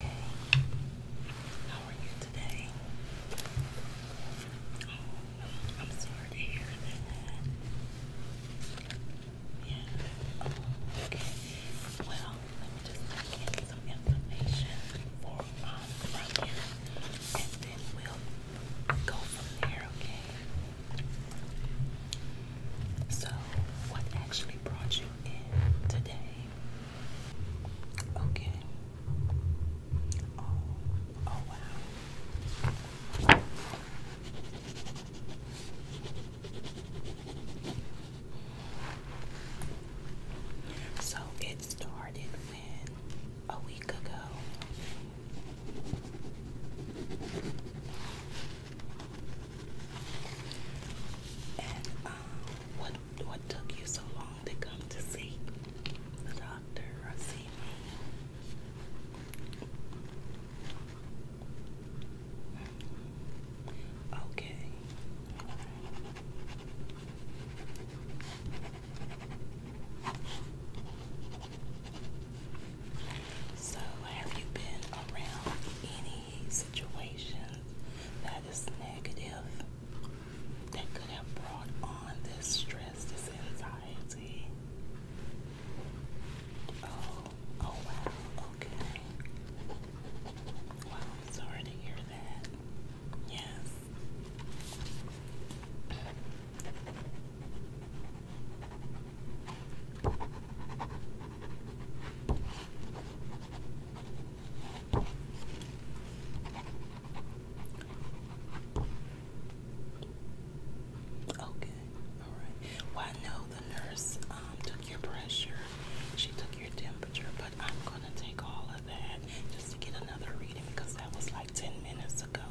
How are you today? Oh, I'm sorry to hear that. Yeah. okay. Well, let me just get some information for um and then we'll go from there. Okay. So, what actually brought you in today? Okay. Oh, oh wow. So it started when a week ago. And um, what took you so long to come to see the doctor or see Okay. So, have you been around any situation that is negative that could have brought on this stress, this anxiety. Oh, oh wow, okay. Wow, sorry to hear that. Yes. Okay, all right. Well, I know the nurse um, took your pressure, she took your temperature, but I'm gonna take all of that just to get another reading because that was like 10 minutes ago,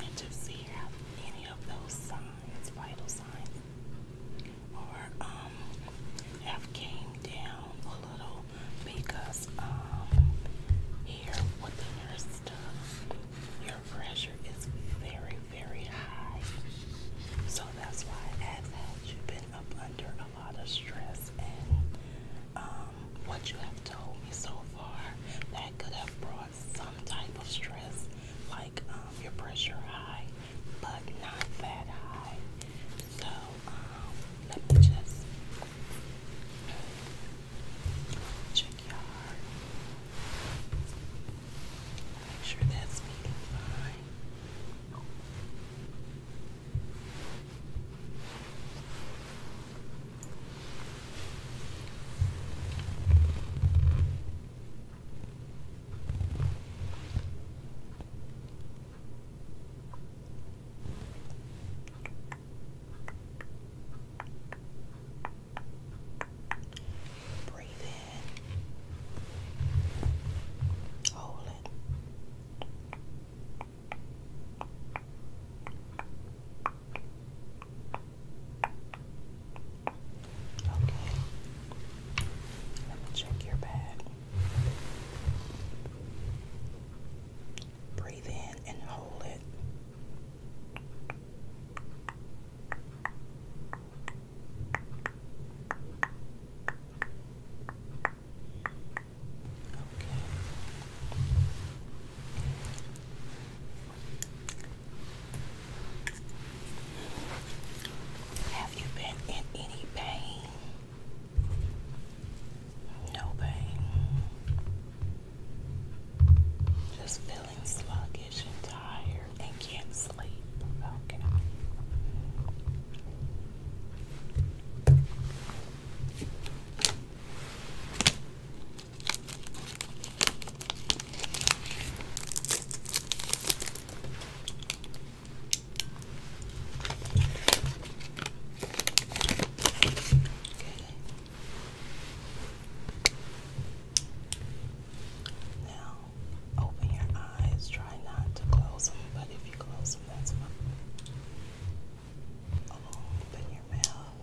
and to see if any of those signs, vital signs, or um, have came down a little because um, here within your stuff, your pressure is very, very high. So that's why I asked had you been up under a lot of stress and um, what you have told me so far that could have brought some type of stress like um, your pressure high but not that high. So um, let me just check your heart. Make sure that's beating fine. Breathe in, hold it. Okay. Let me check your bag. Breathe in and hold it. Okay. Have you been in any pain? No pain. Just feeling sluggish and tired and can't sleep. Now, open your eyes. Try not to close them, but if you close them, that's fine. Open your mouth.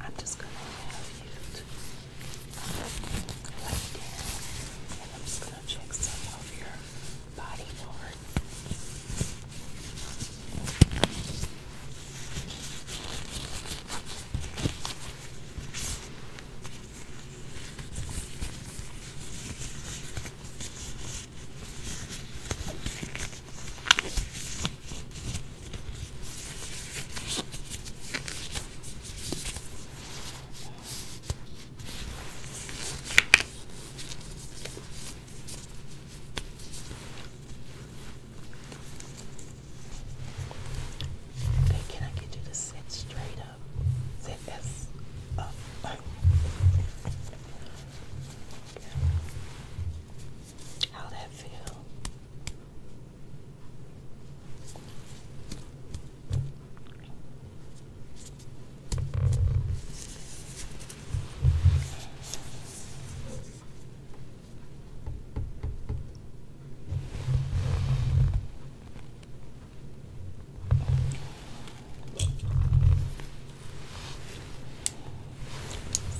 I'm just gonna have you lay down and I'm just gonna check some of your body parts. Okay, can I get you to sit straight up? Sit Okay. How that feel? Okay.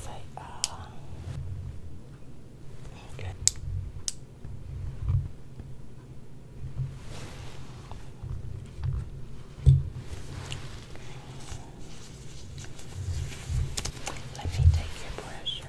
So, uh, good. Let me take your pressure.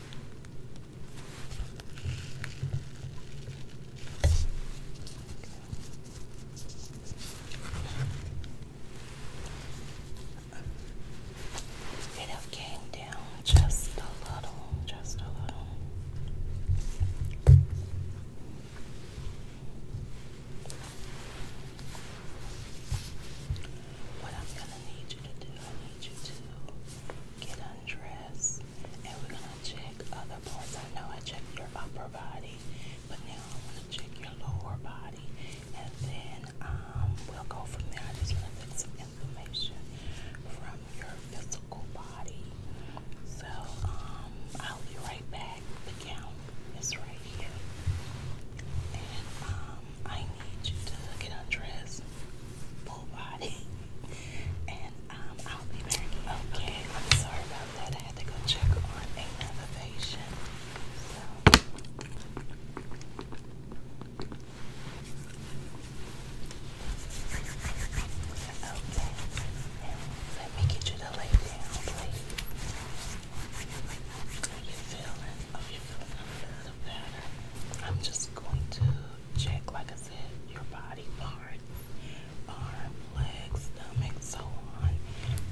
It came down just a little, just a little. I'm going need you to do. I need you to get undressed and we're gonna check other parts. I know I checked your upper body, but now I wanna check your lower body and then um we'll go from there. I just wanna get some information from your physical body. So um, I'll be right back. The gown is right um, I need you to get undressed, full body, and um, I'll be back. Okay, I'm sorry about that. I had to go check on another patient. So. Okay, let me get you to lay down, please. How you feeling? Oh, you feeling good? I'm just going to check, like I said, your body part, arm, leg, stomach, so on,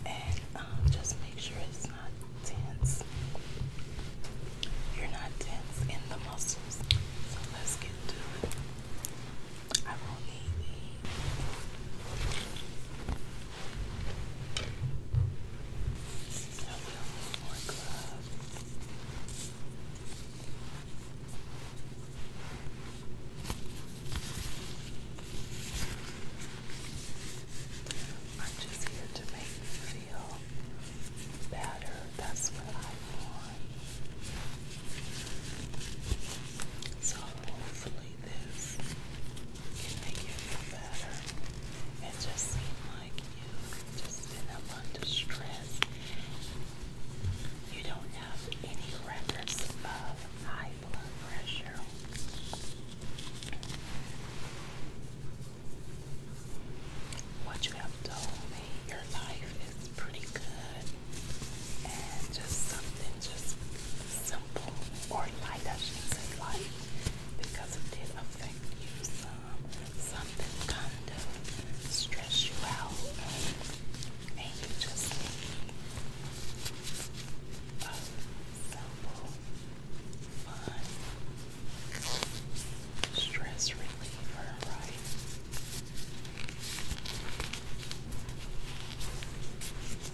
and um, just make sure it's not tense. You're not tense in the muscles. So let's get to it. I will need now I'm just here to make you feel better. That's what I want. So hopefully this make you feel better. It just seemed like you just been up under stress. You don't have any records of high blood pressure. What you have told me, your life is pretty good and just something just simple or light, I should because it did affect you some. Something kind of stressed you out, and, you just a simple, fun stress reliever, right?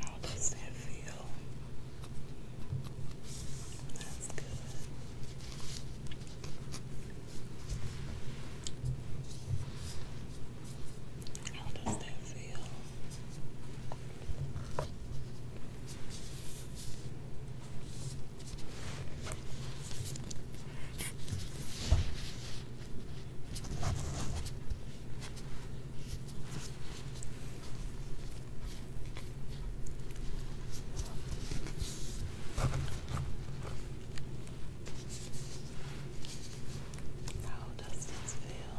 How does that feel? That's good. How does that feel? How does this feel?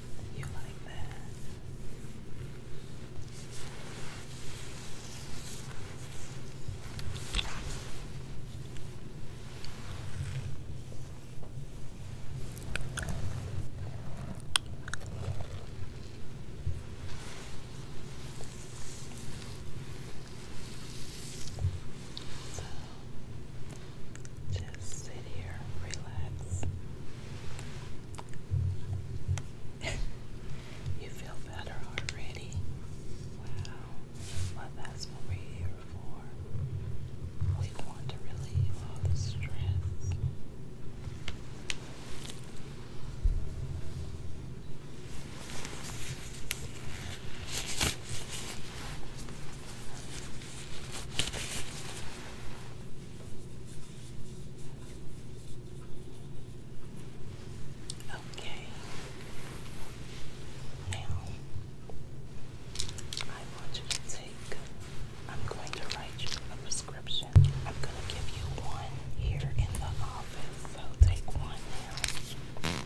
You like that? Just sit here, relax. you feel better already. Wow. Well, that's what we're here for. We want to relieve all the stress. Okay. Now I want you to take I'm going to write you a prescription. I'm going to give you one here in the office. So take one now.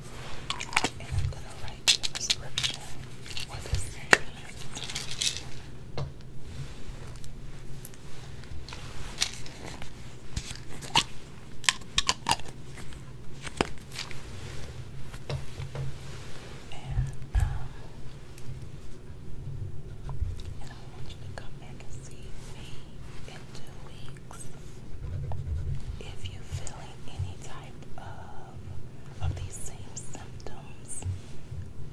And I'm gonna write you prescription for this ailment. and I want you to come back and see me in two weeks. If you're feeling any type of um, of these same symptoms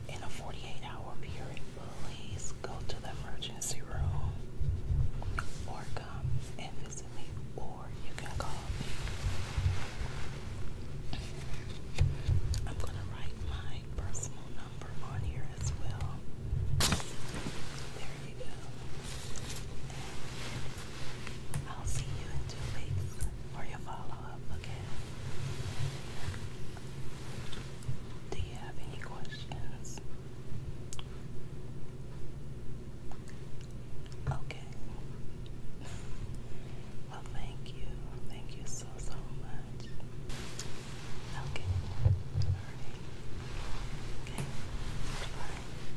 in a 48-hour period, please go to the emergency room or come and visit me or you can call me. I'm going to write my personal number on here as well. There you go. I'll see you in two weeks for your follow up, okay? Do you have any questions? Okay. Well, thank you. Thank you so, so much. Okay. Bye.